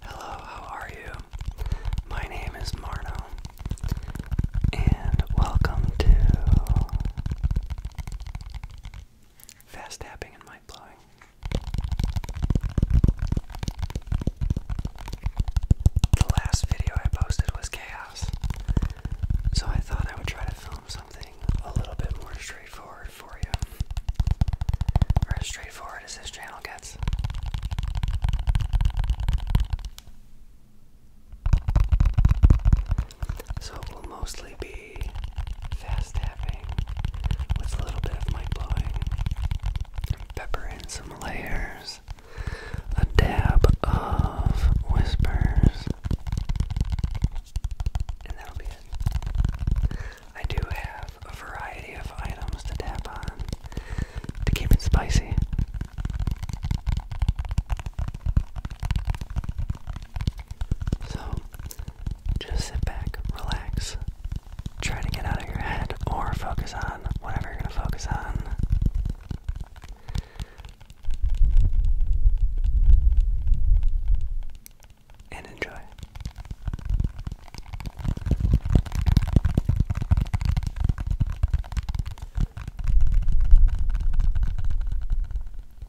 Hello, how are you? My name is Marno, and welcome to Fast tapping and mic blowing. The last video I posted was chaos. So I thought I would try to film something a little bit more straightforward for you. as straightforward as this channel gets. So it will mostly be fast tapping with a little bit of mic blowing. Pepper in some layers, a dab of whispers, and that'll be it. I do have a variety of items to tap on to keep it spicy. So just sit back, relax, try to get out of your head or focus on whatever you're going to focus on. And enjoy.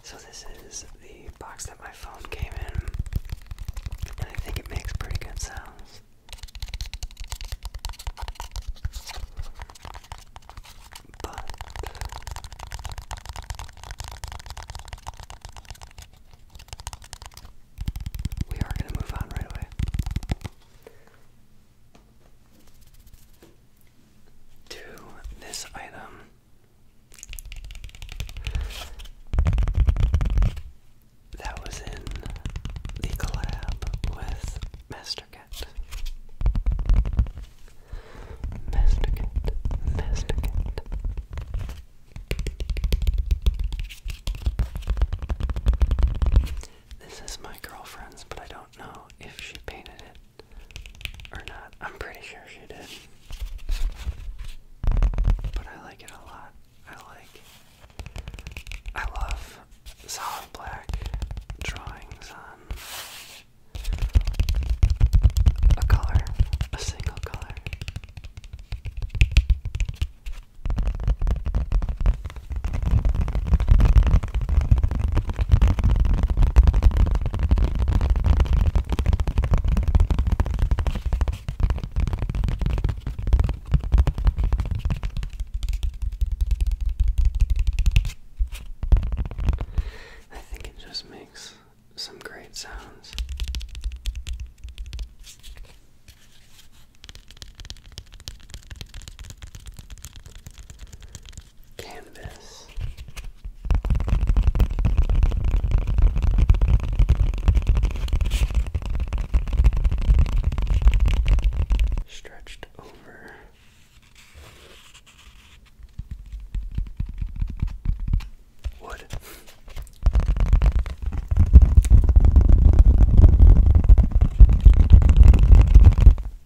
So this is the box that my phone came in, and I think it makes pretty good sounds. But we are going to move on right away to this item. That was in the collab with Mastercat. Mastercat, Mastercat. This is my girlfriend's, but I don't know if she painted it. Or not. I'm pretty sure she did. But I like it a lot. I like. I love solid black drawings on a color, a single color. I think it just makes some great sounds canvas. Stretched over wood.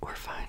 We're fine.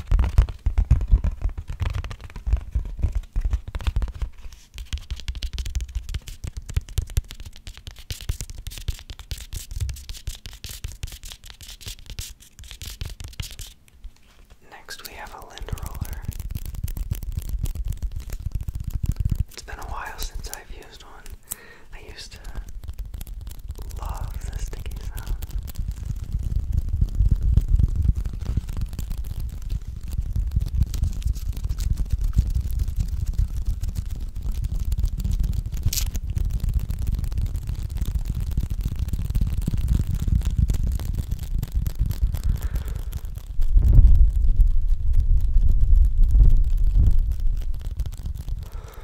Next, we have a lint roller. It's been a while since I've used one. I used to love the sticky sound.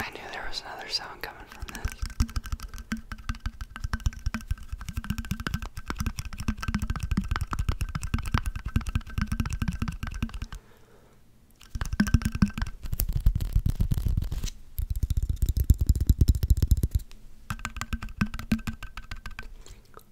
I knew there was another sound coming from this.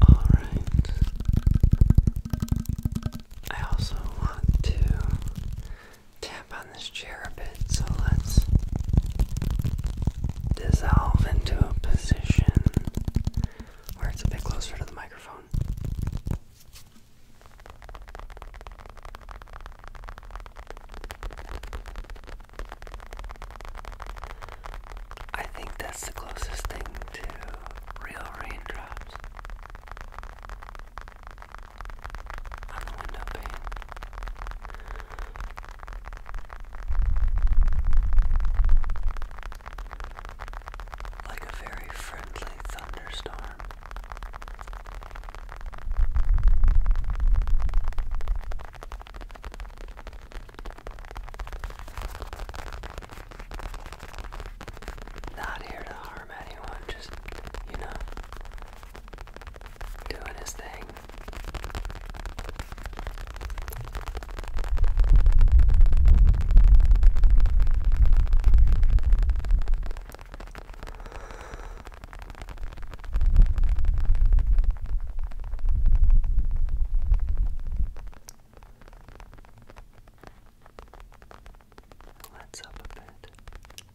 All right. I also want to tap on this chair a bit, so let's dissolve into a position where it's a bit closer to the microphone. I think that's the closest thing to real raindrops. Like a very friendly thunderstorm. Not here to harm anyone, just, you know, doing his thing. Let's up a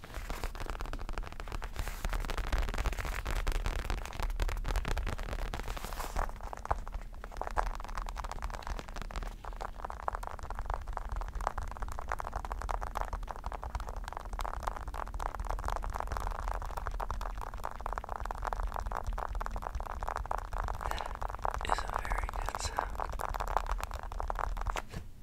That is a very good sound.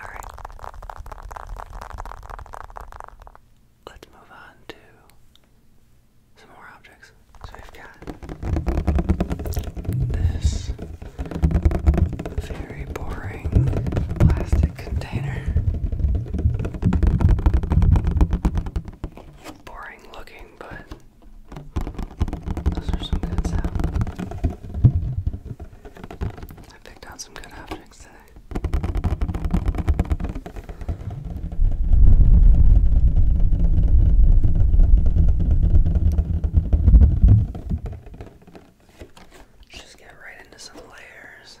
Alright. Let's move on to some more objects. So we've got this very boring plastic container. Boring looking, but those are some good sounds. I picked out some good objects today. Just get right into some layers.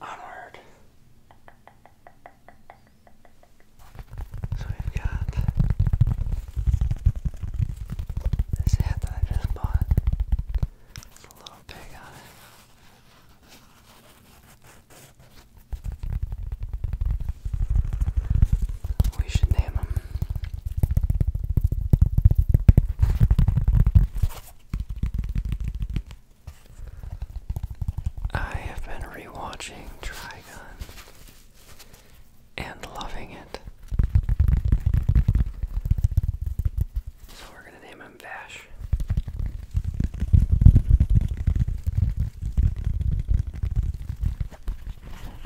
Onward. So we've got this hat that I just bought. It's a little pig on it. We should name him I have been rewatching Trigun and loving it. So we're gonna name him Vash.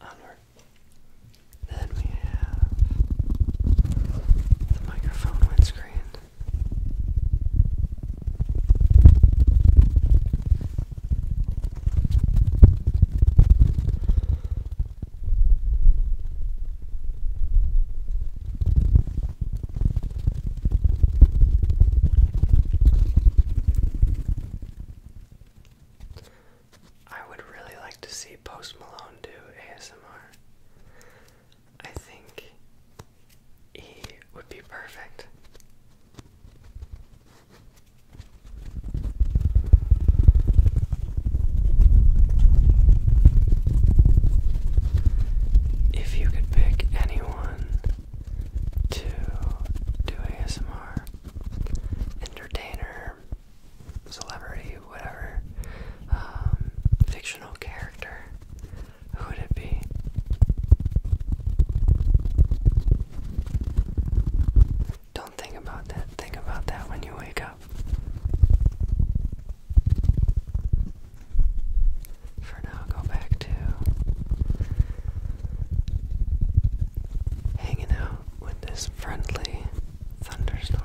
Onward. Then we have the microphone windscreen. I would really like to see Post Malone do ASMR. I think E would be perfect. If you could pick anyone to do ASMR, entertainer, celebrity, whatever, um, fictional character, Who'd it be? Don't think about that. Think about that when you wake up. For now, go back to hanging out with this friendly thunderstorm.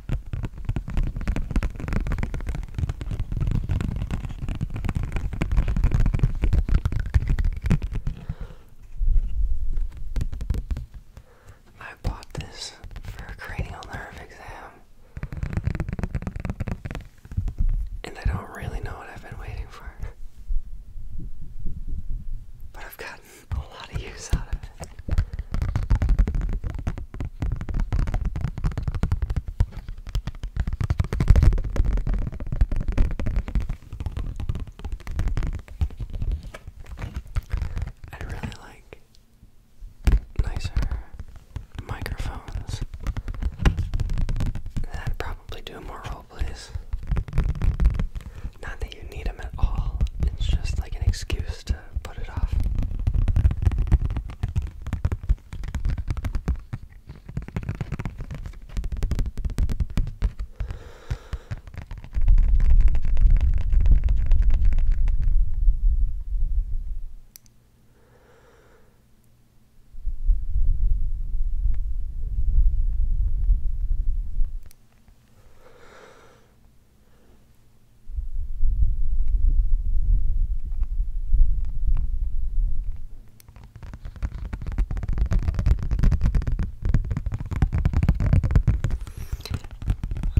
I bought this for a cranial nerve exam, and I don't really know what I've been waiting for, but I've gotten a lot of use out of it. I really like nicer microphones that probably do more role Not that you need them at all, it's just like an excuse to to put it off.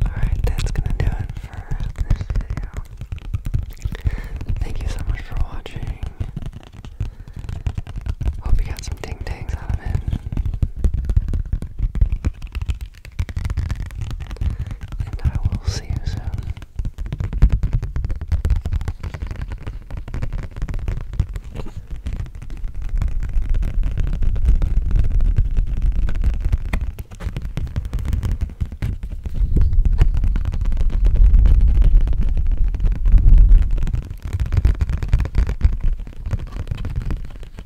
Alright, that's gonna do it for this video. Thank you so much for watching. Hope you got some ting tangs out of it and I will see you soon.